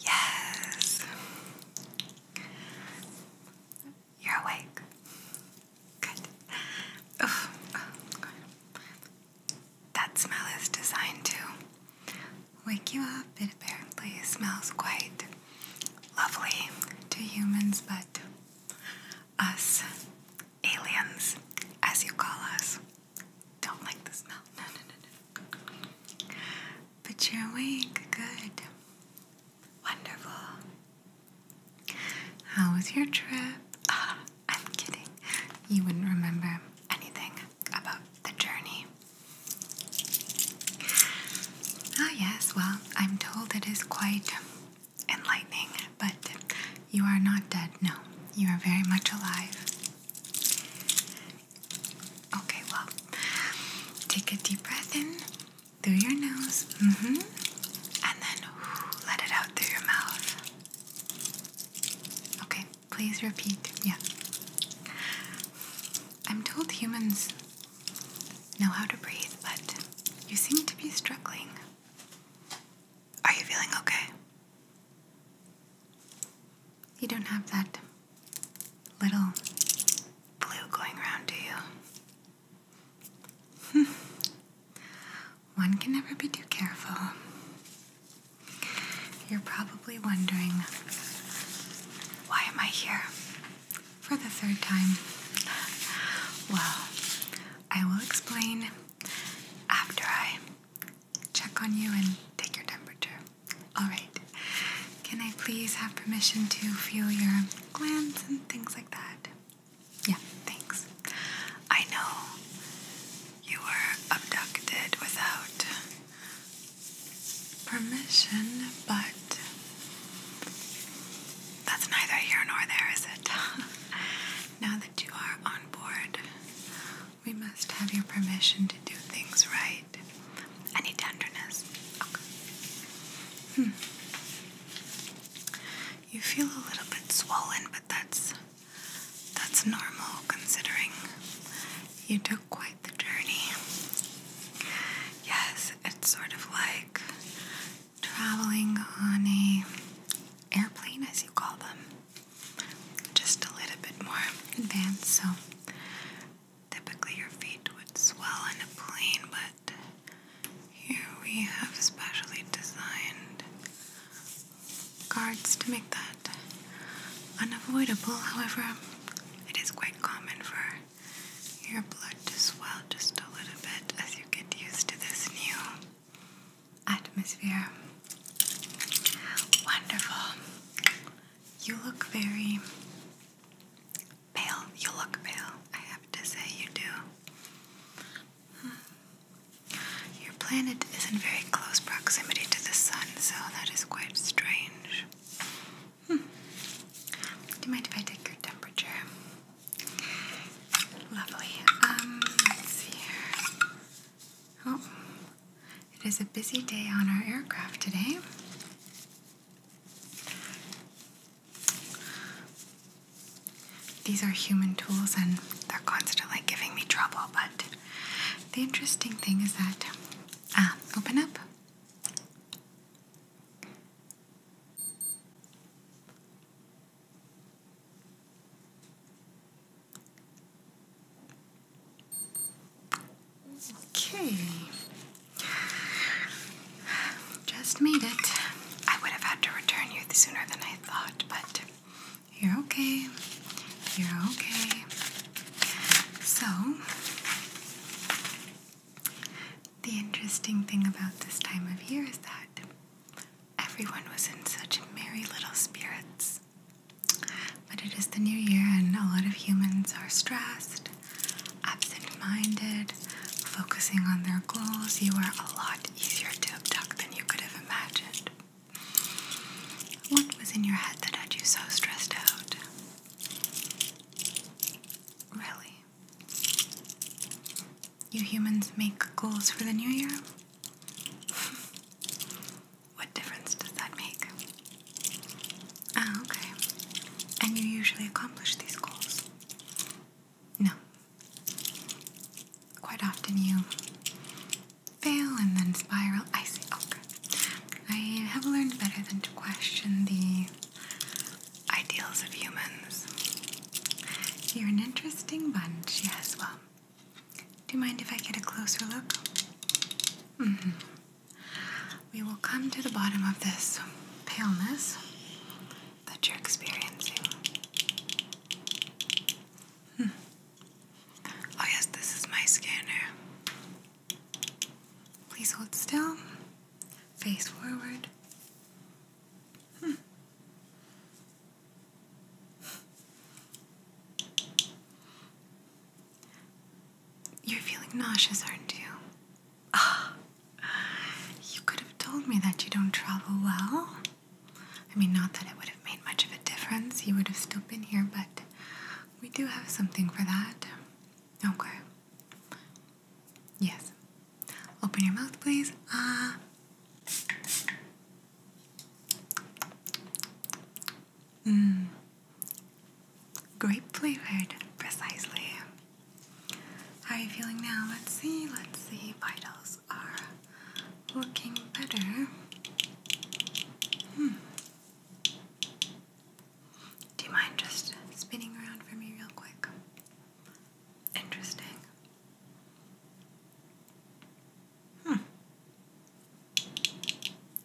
Yes, you're awake. Good. That smell is designed to wake you up. It apparently smells quite lovely to humans, but us aliens, as you call us, don't like the smell. No, no, no, no. But you're awake. Good. Wonderful. How was your trip? Uh, I'm kidding. You wouldn't remember anything about the journey. Ah, yes, well, I'm told it is quite enlightening, but you are not dead, no. You are very much alive. Okay, well, take a deep breath in through your nose, mm hmm, and then let it out through your mouth. Okay, please repeat. Yeah. I'm told humans know how to breathe, but you seem to be struggling. Are you feeling okay? You don't have that little blue going around, do you? One can never be too careful. You're probably wondering, why am I here? for the third time. Well, I will explain after I check on you and take your temperature. Alright, can I please have permission to feel your glands and things like that? Yeah, thanks. I know you were abducted without permission, but that's neither here nor there, is it? now that you are on board, we must have your permission to do things right. Any tenderness? Okay. Hmm. You feel a little bit swollen, but that's that's normal considering you took quite the journey. Yes, it's sort of like traveling on a airplane, as you call them, just a little bit more advanced. So typically your feet would swell in a plane, but here we have specially designed guards to make that unavoidable. However, it is quite common for your blood does swell just a little bit as you get used to this new atmosphere. Wonderful. You look very pale. You look pale, I have to say, you do. Hmm. Your planet is in very close proximity to the sun, so that is quite strange. Do you mind if I take your temperature? Lovely. Um, Oh, it is a busy day on our aircraft today. These are human tools and they're constantly giving me trouble, but the interesting thing is that. Ah, open up. Okay. Just made it. I would have had to return you sooner than I thought, but you're okay. You're okay. So, the interesting thing about this time of year is that everyone was in such merry little spirits. But it is the new year, and a lot of humans are stressed, absent minded, focusing on their goals. You are a lot easier to abduct than you could have imagined. What was in your head that had you so stressed out? Really? You humans make goals for the new year? what difference does that make? Ah, okay. And you usually accomplish these goals? No. Quite often you fail and then spiral. I see. Okay. I have learned better than to question the Ideals of humans. You're an interesting bunch, yes. Well, do you mind if I get a closer look? Mm-hmm. We will come to the bottom of this paleness that you're experiencing. Hmm. Oh, yes, this is my scanner. Please hold still face forward. Hmm. You're feeling nauseous, aren't you? Ah, you could have told me that you don't travel well. I mean, not that it would have made much of a difference, you would have still been here, but we do have something for that. Okay. Yes. Open your mouth, please. Ah. Uh. Mm. Great flavored, precisely. How are you feeling now? Let's see. Let's see. Vitals are looking better. Hmm. Do you mind just spinning around for me real quick? Interesting. Hmm.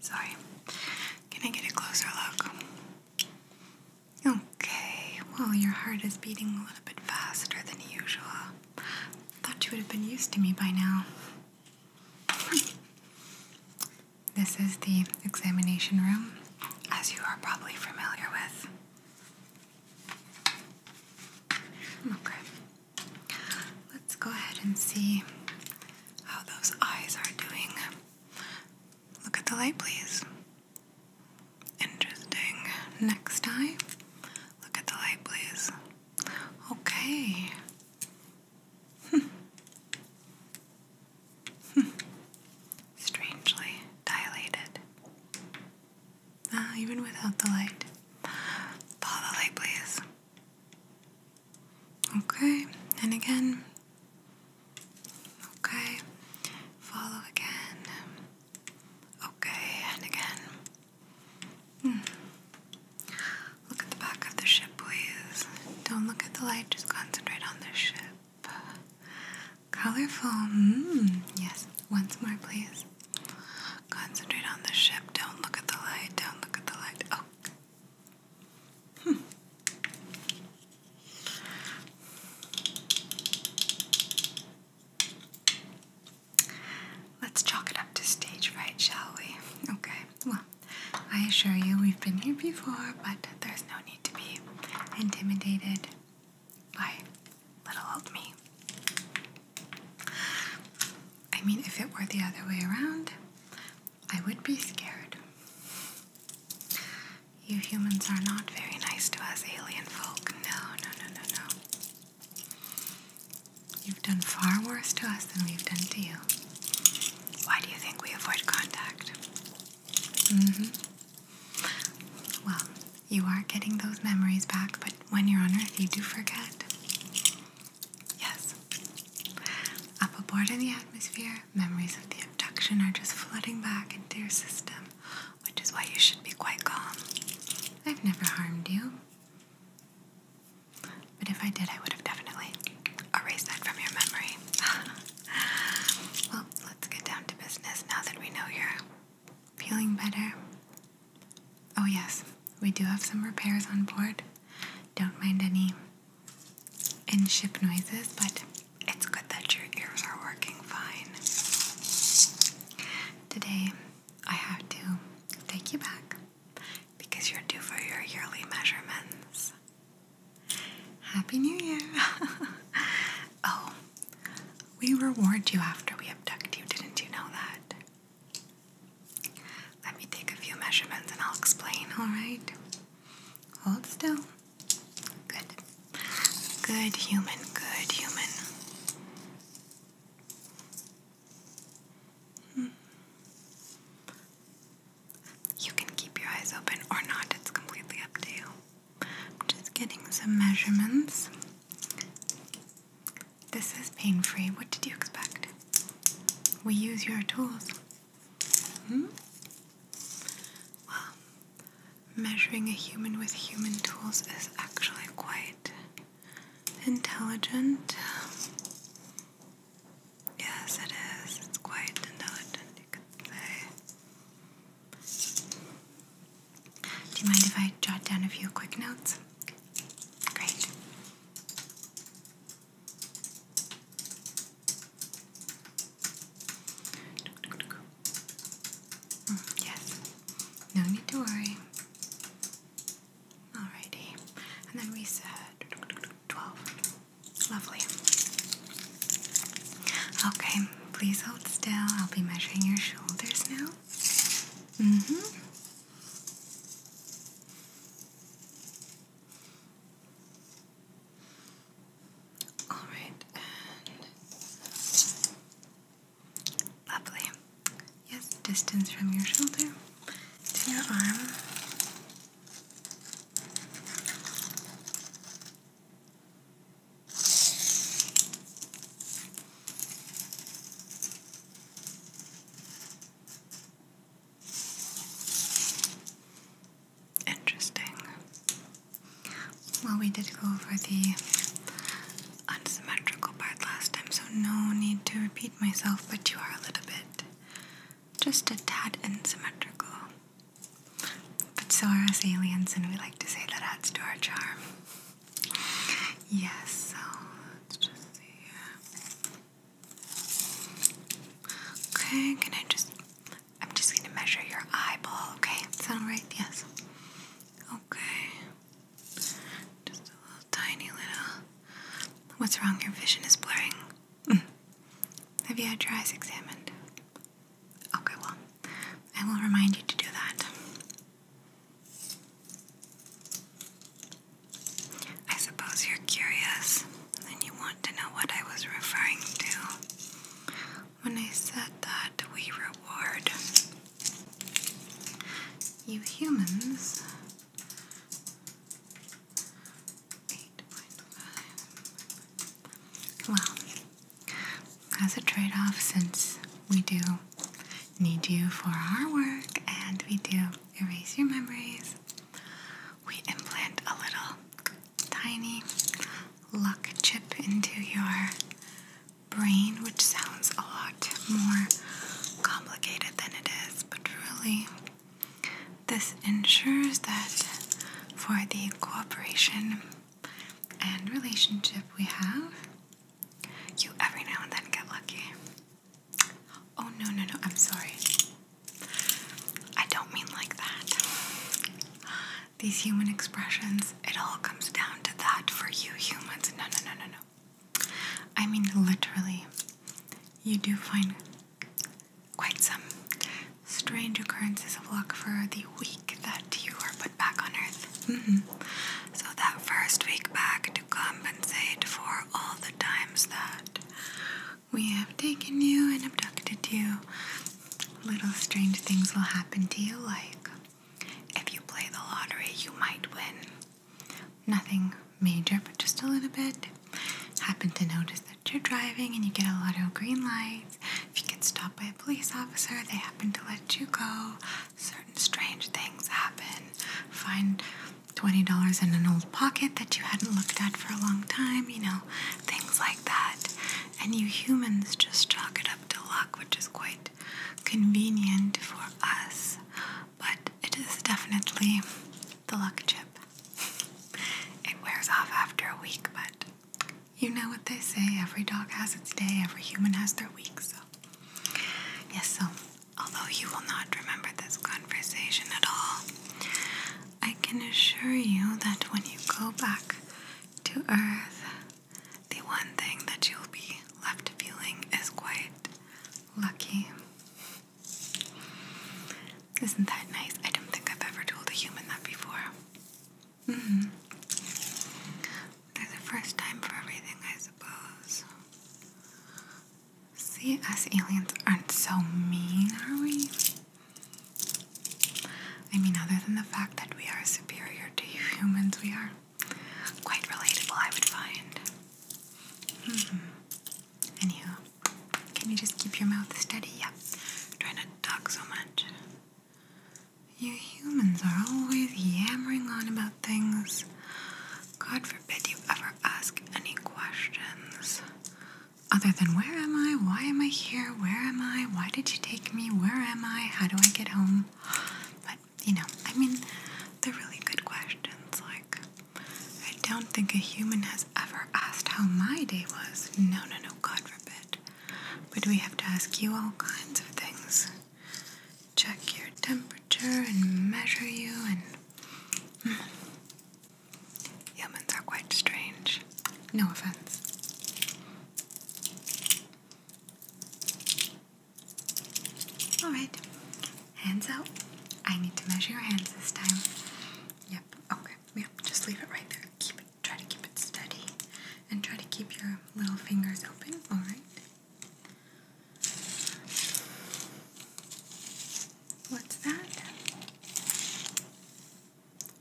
Sorry. Can I get a closer look? Okay, well, your heart is beating a little bit faster than usual. Thought you would have been used to me by now. Hmm. This is the examination room as you are probably familiar with. Okay, let's go ahead and see how those eyes are doing. Look at the light, please. Interesting. Next eye, look at the light, please. Okay. Hmm. Strangely dilated. Ah, even without the light. Follow the light, please. Okay, and again. Okay, follow again. Okay, and again. Hmm. Look at the back of the ship, please. Don't look at the light, just concentrate on the ship. Colorful. Mm, yes. Once more, please. Concentrate on the ship. Don't look at the light. Don't look at the light. Oh. Hmm. Let's chalk it up to stage right, shall we? Okay. Well, I assure you we've been here before, but there's no need to be intimidated. Why? Little old me. I mean, if it were the other way around, I would be scared. You humans are not very nice to us alien folk. No, no, no, no, no. You've done far worse to us than we've done to you. Why do you think we avoid contact? Mm hmm. Well, you are getting those memories back, but when you're on Earth, you do forget. Yes. Up aboard in the atmosphere, memories of the abduction are just flooding back into your system, which is why you should be quite calm. I've never harmed you. But if I did, I would have definitely erased that from your memory. well, let's get down to business now that we know you're feeling better. Oh, yes, we do have some repairs on board. Don't mind any in ship noises, but it's good that your ears are working fine. Today, I have to take you back because you're due for your yearly measurements. Happy New Year! oh, we reward you after we abduct you, didn't you know that? Let me take a few measurements and I'll explain, alright? Hold still. Good. Good human, good human. Hmm. You can keep your eyes open or not, it's completely up to you. I'm just getting some measurements. This is pain free. What did you expect? We use your tools. Hmm? Well, measuring a human with human tools is actually quite intelligent. Yes, it is. It's quite intelligent, you could say. Do you mind if I jot down a few quick notes? Great. Mm, yes. No need to worry. Alrighty. And then we said 12. Lovely. Okay, please hold still. I'll be measuring your shoulders now. Mm-hmm. All right, lovely. Yes, distance from your shoulder to your arm. Interesting. Well, we did go over the unsymmetrical part last time, so no need to repeat myself, but you are a little bit, just a tad unsymmetrical. But so are us aliens, and we like to say that adds to our charm. Yes, so let's just see Okay, can I just. I'm just gonna measure your eyeball, okay? Is that alright? Yes. Okay. Just a little tiny little. What's wrong? Your vision is blurring. Mm. Have you had your eyes examined? Okay, well, I will remind you to do that. I suppose you're curious and you want to know what I was referring to when I said that we reward you humans. Well, as a trade off, since we do need you for our work and we do erase your memories, we implant a little tiny luck chip into your brain, which sounds a lot more complicated than it is, but really, this ensures that for the cooperation and relationship we have. You every now and then get lucky. Oh, no, no, no, I'm sorry. I don't mean like that. These human expressions, it all comes down to that for you humans. No, no, no, no, no. I mean, literally, you do find quite some strange occurrences of luck for the week that you are put back on earth. -hmm. So, that first week back to compensate for all the times that we have taken you and abducted you, little strange things will happen to you. Like, if you play the lottery, you might win. Nothing major, but just a little bit. Happen to notice that you're driving and you get a lot of green light if you get stopped by a police officer, they happen to let you go. Certain strange things happen. Find $20 in an old pocket that you hadn't looked at for a long time, you know, things like that. And you humans just chalk it up to luck, which is quite convenient for us. But it is definitely the luck chip. it wears off after a week, but you know what they say every dog has its day, every human has their week, so. Yes, so although you will not remember this conversation at all, I can assure you that when you go back to Earth, the one thing that you'll be left feeling is quite lucky. Isn't that nice? I don't think I've ever told a human that before. -hmm. There's a first time for everything, I suppose. See, us aliens aren't so mean, are we? I mean, other than the fact that we are superior to humans, we are quite relatable, I would find. -hmm. Anywho, can you just keep your mouth steady? Yep. Try to talk so much. You humans are always yammering on about things. God forbid you ever ask any questions. Other than where am I? Why am I here? Where am I? Why did you take me? Where am I? How do I get home? But, you know, I mean, they're really good questions. Like, I don't think a human has ever asked how my day was. No, no, no, God forbid but we have to ask you all kinds of things check your temperature and measure you and hmm. humans are quite strange no offense all right hands out i need to measure your hands this time yep okay yeah just leave it right there keep it try to keep it steady, and try to keep your little fingers open. All right. What's that?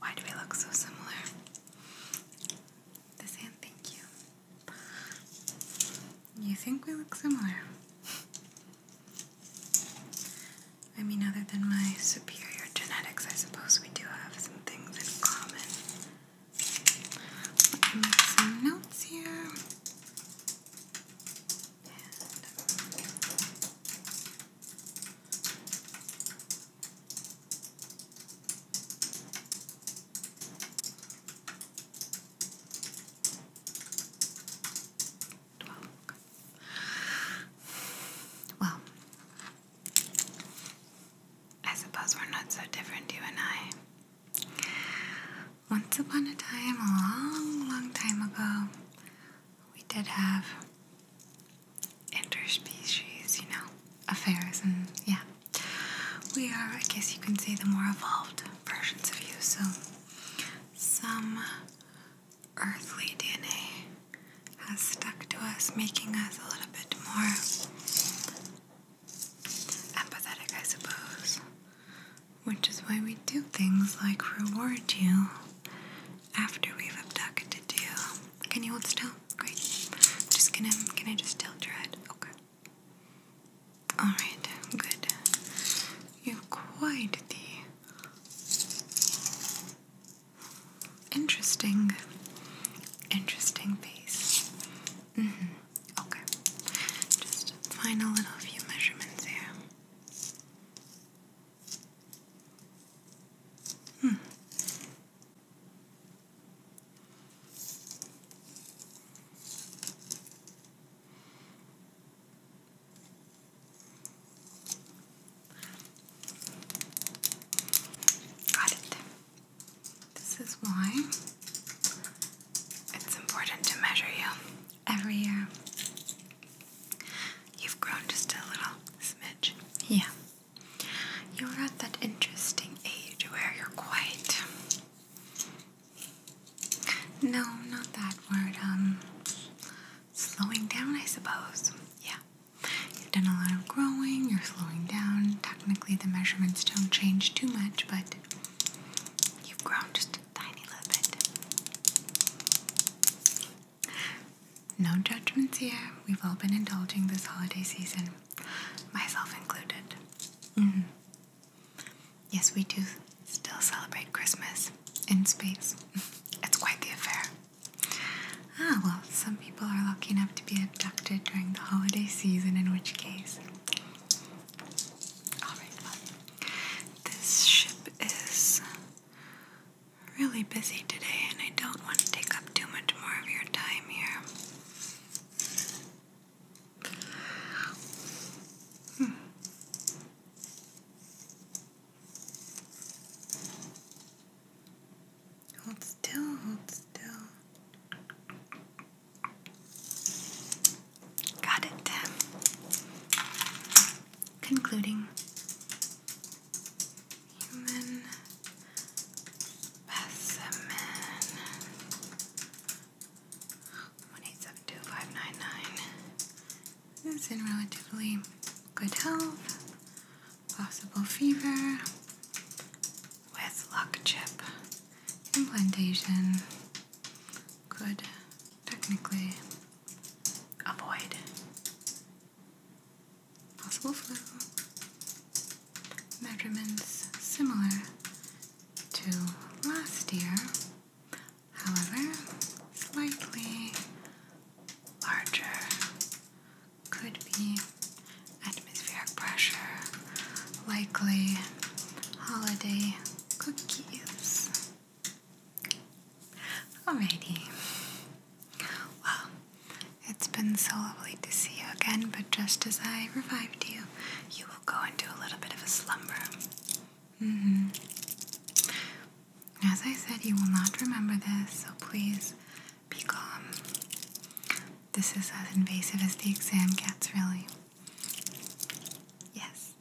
Why do we look so similar? This hand, thank you. You think we look similar? I mean, other than my superior genetics, I suppose we do have some things in common. Make some notes here. And Twelve. Well, I suppose we're not so different, you and I. Once upon a time, a long, long time ago, we did have interspecies, you know, affairs, and yeah. We are, I guess you can say, the more evolved versions of you, so some earthly DNA has stuck to us, making us a little bit more empathetic, I suppose. Which is why we do things like reward you after we've abducted you. Can you hold still? Great. Just gonna, can I just tilt your Okay. Alright, good. You have quite the Interesting. Interesting piece. Mm-hmm. Okay. Just final little few measurements here. Hmm. Got it. This is why it's important to measure you every year. You've grown just a little smidge. Yeah. You're at that interesting age where you're quite. No, not that word. Um, slowing down, I suppose. Yeah. You've done a lot of growing, you're slowing down. Technically, the measurements don't change too much, but you've grown just a tiny little bit. No judgments here. We've all been indulging this holiday season, myself included. Mm-hmm. Yes, we do still celebrate Christmas in space. It's quite the affair. Ah, well, some people are lucky enough to be abducted during the holiday season, in which case. this ship is really busy today, and I don't want to take up too much more of your time here. Hold still, hold still. Got it. Concluding. Human specimen. 1872 is in relatively good health. Possible fever with lock chip implantation could technically avoid possible flu measurements similar to last year, however, slightly larger could be atmospheric pressure, likely holiday cookies. Alrighty. Well, it's been so lovely to see you again, but just as I revived you, you will go into a little bit of a slumber. Mm-hmm. As I said, you will not remember this, so please be calm. This is as invasive as the exam cats, really. Yes.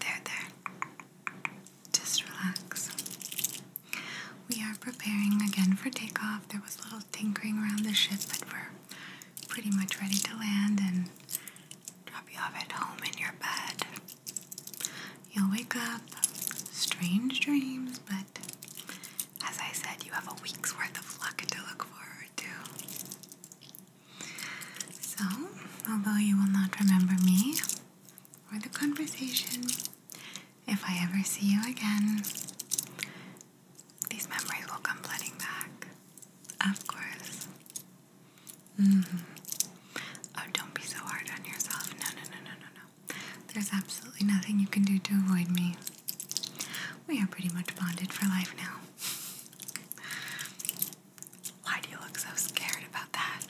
There, there. Just relax. We are preparing again for takeoff. There was a little tinkering around the ship, but we're pretty much ready to land and drop you off at home in your bed. You'll wake up, strange dreams, but as I said, you have a week's worth of luck to look forward to. So, although you will not remember me or the conversation, if I ever see you again, these memories will come flooding back. Of course. Mm-hmm. Oh, don't be so hard on yourself. No, no, no, no, no, no. There's absolutely nothing you can do to avoid me. We are pretty much bonded for life now. Why do you look so scared about that?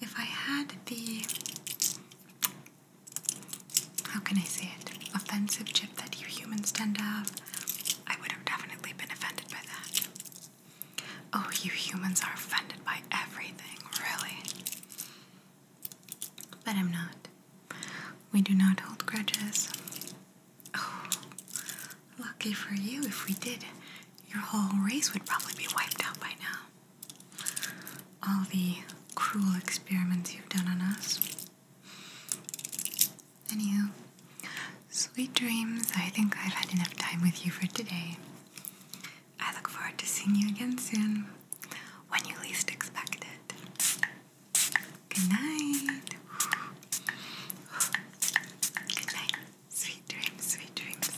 If I had the. How can I say it? Offensive chip that you humans tend to have, I would have definitely been offended by that. Oh, you humans are offended by everything, really. But I'm not. We do not hold grudges. Oh, lucky for you, if we did, your whole race would probably be wiped out by now. All the cruel experiments you've done on us. Anywho, sweet dreams. I think I've had enough time with you for today. I look forward to seeing you again soon when you least expect it. Good night. Good night. Sweet dreams, sweet dreams.